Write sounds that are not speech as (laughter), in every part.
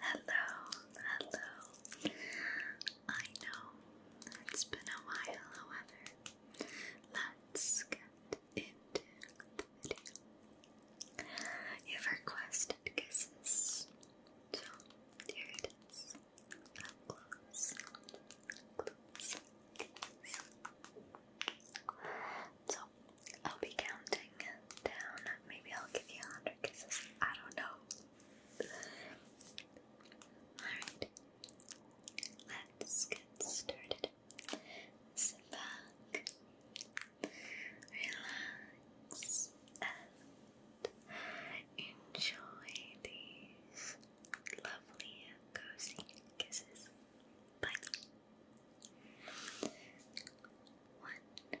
Hello, hello. I know it's been a while, however, let's get into the video. You've requested kisses, so here it is. close, close. So I'll be counting down. Maybe I'll give you a hundred kisses. I don't know. Alright. Let's get started. Sit back, relax, and enjoy these lovely cozy kisses. Bye. One,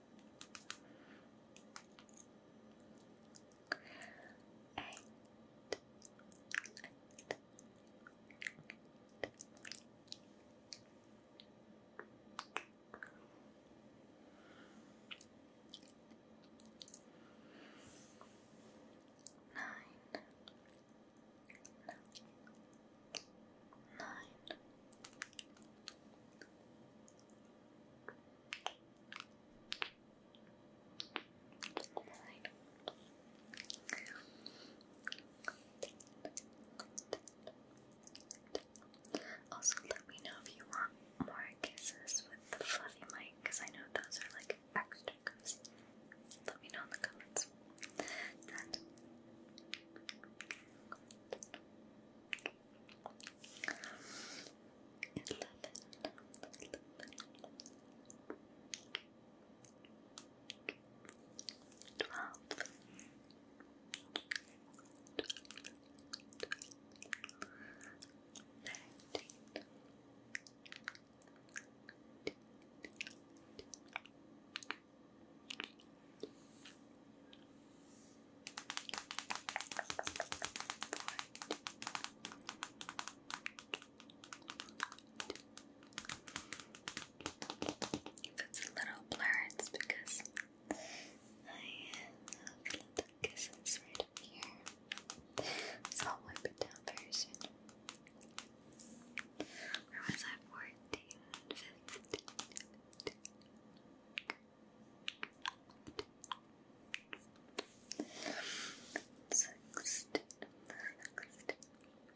Eight. Eight. Eight. Nine. Nine. Nine nine. Also, let me know if you want more kisses with the fluffy mic because I know those are like extra cozy. Let me know in the comments. And Eleven. Eleven. Twelve. Thirteen. Fourteen. If it's a little blur, because I have little kisses right here. So I'll down very soon. Where was I? 14, 15, Sixteen. Sixteen. Seven. Eight.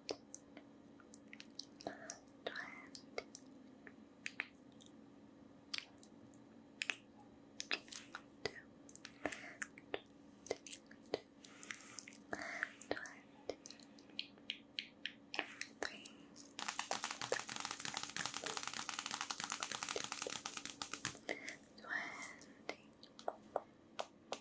Trend. Twenty. Twenty.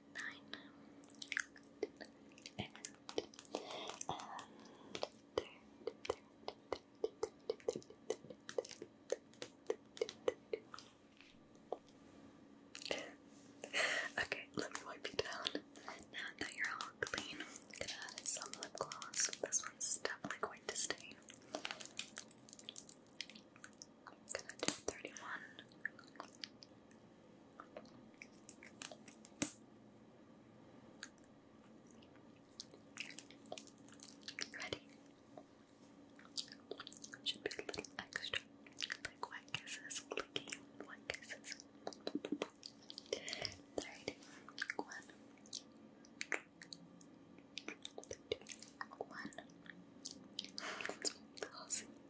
nine, okay, let me wipe you down. Now that you're all clean, gonna add some lip gloss. This one's definitely going to stain. I'm gonna do 31. Ready? Should be a little extra. Like kisses, clicking kisses. Thirty one. One. That's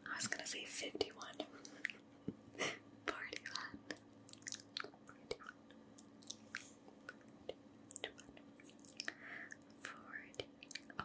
I was gonna say fifty one. (laughs) Forty one. Oh. Forty one. Forward. Oh.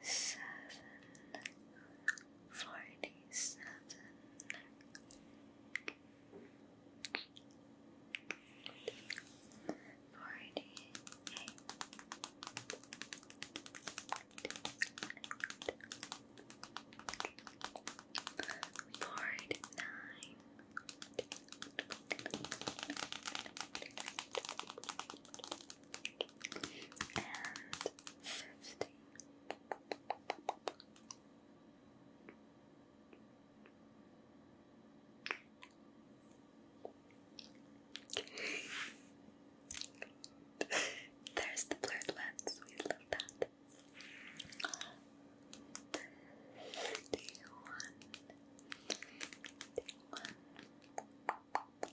seven forty seven forty eight forty nine Forty and fifty. There's the blurred lens, we love that. Thirty-one, thirty-one, Four,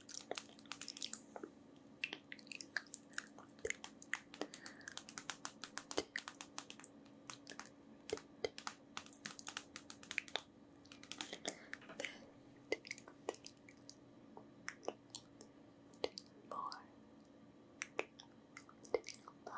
five,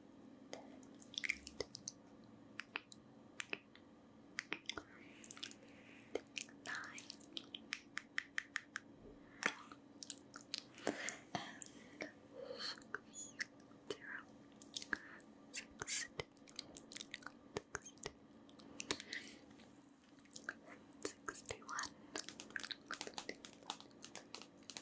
nine, and six, zero, six, Sixty one, sixty one, sixty two, sixty three, sixty four, sixty five, sixty six, sixty seven, sixty eight, sixty nine, seventy,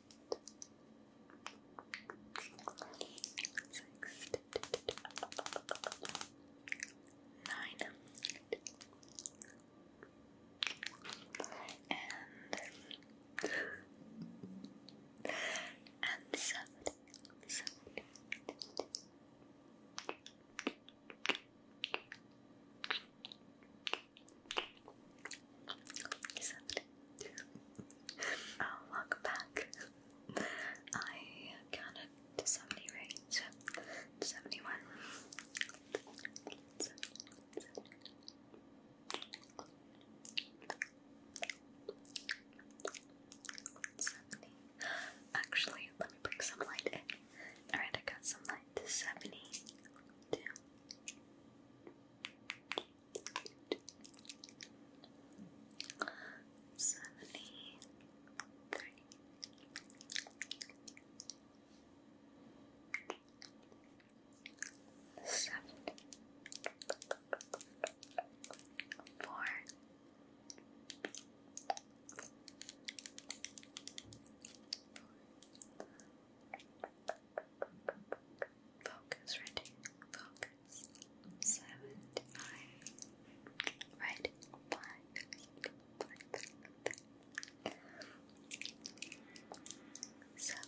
six, nine, and and seven, Except, welcome back. I counted to 70, right? 71. Seventy. Actually, let me bring some light in. Alright, I got some light to Seventy three. Seventy four. Forty Focus, ready, focus. Seventy five. Ready, five. five. Seven.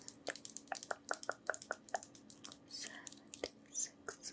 Seventy six. Seventy six.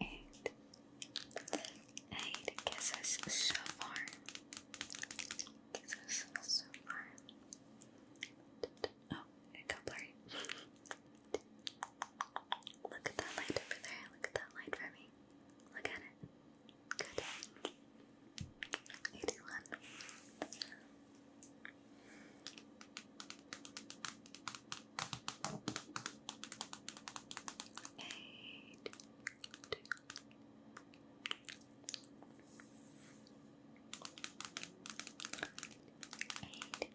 eight, eight kisses so far. Kisses so far. Oh, it got blurry. Look at that light over there. Look at that light for me. Look at it. Good. 81 eight, two. Eight, eight, eight,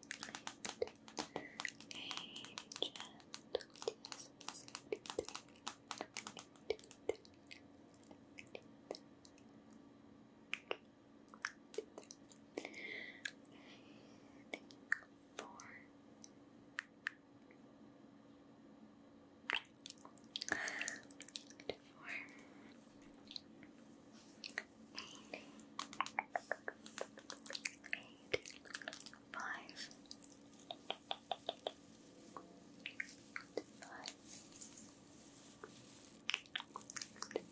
Good four. Eight. Eight. Five. Good five. Good five. Good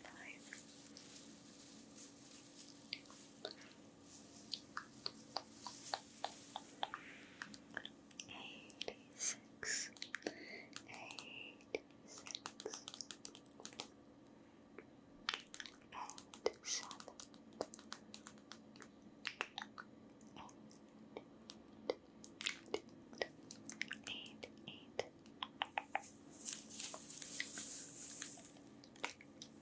Eighty-six, eighty-six, and seven, and eight, eight. Eighty-nine,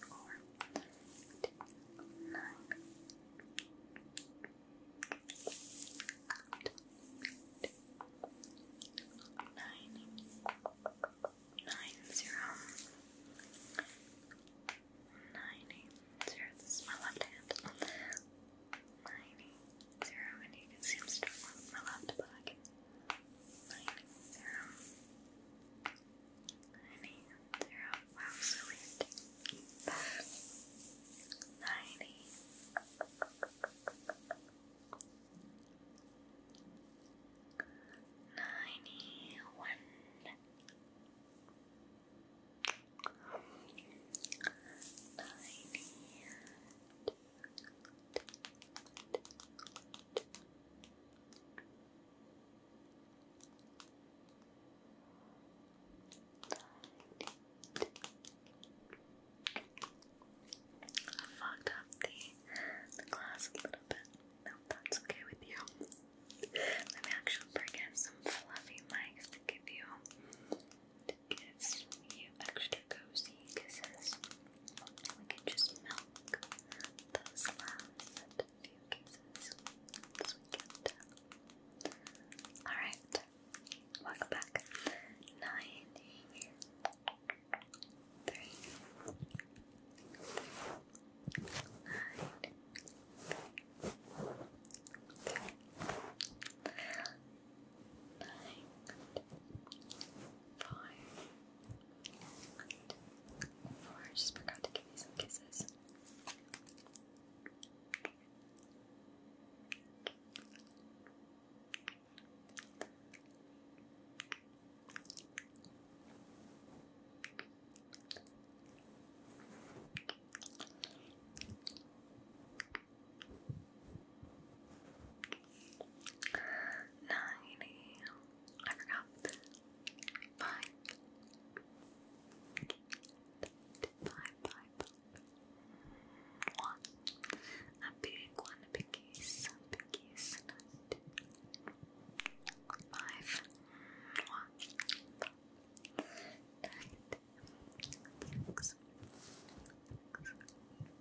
Four, eight, nine, nine, nine, zero, nine, eight, zero. This is my left hand. Nine, eight, zero, and you can see I'm struggling my left back nine, zero, nine, eight, zero. Wow, so weird. Nine, I fogged up the, glass a little bit. No, that's okay with you. Let me actually bring in some fluffy mics to give you to give extra cozy kisses. And we can just milk those last few kisses Alright, welcome back. Nine, three, three, nine, three, three, nine, five. I just forgot to give you some kisses ninety, I forgot, five, five, five, five, one, a big one, a big piece, a big piece, five, one, five, nine, six, six,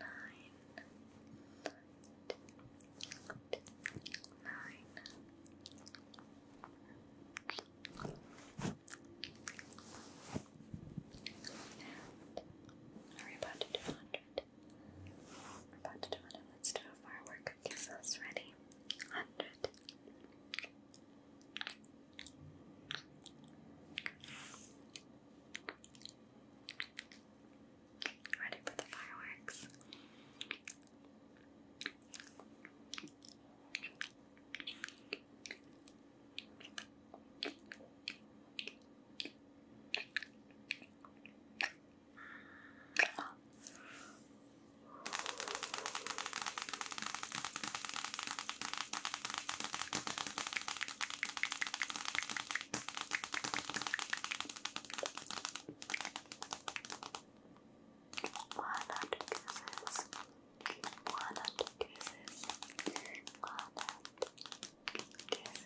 nine, nine, are about to do a 100 about to do it. Let's do a firework. Gives us ready. Hundred. 100 Ready for the fireworks? Walnut kisses, walnut kisses, walnut kisses,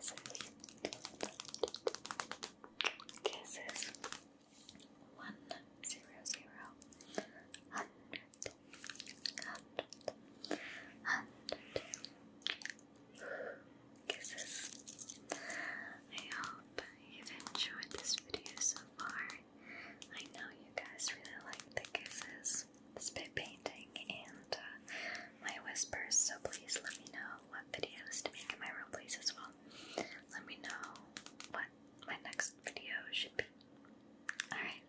kisses, kisses one zero zero hundred hundred hundred kisses. I hope you've enjoyed this video so far. I know you guys really like the kisses, spit painting, and my whispers, so please let me know what videos to make in my roleplays as well. Let me know what my next video should be. Alright.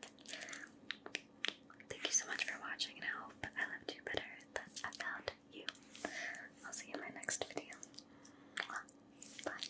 Thank you so much for watching, and I hope I loved you better than I you. I'll see you in my next video. Bye.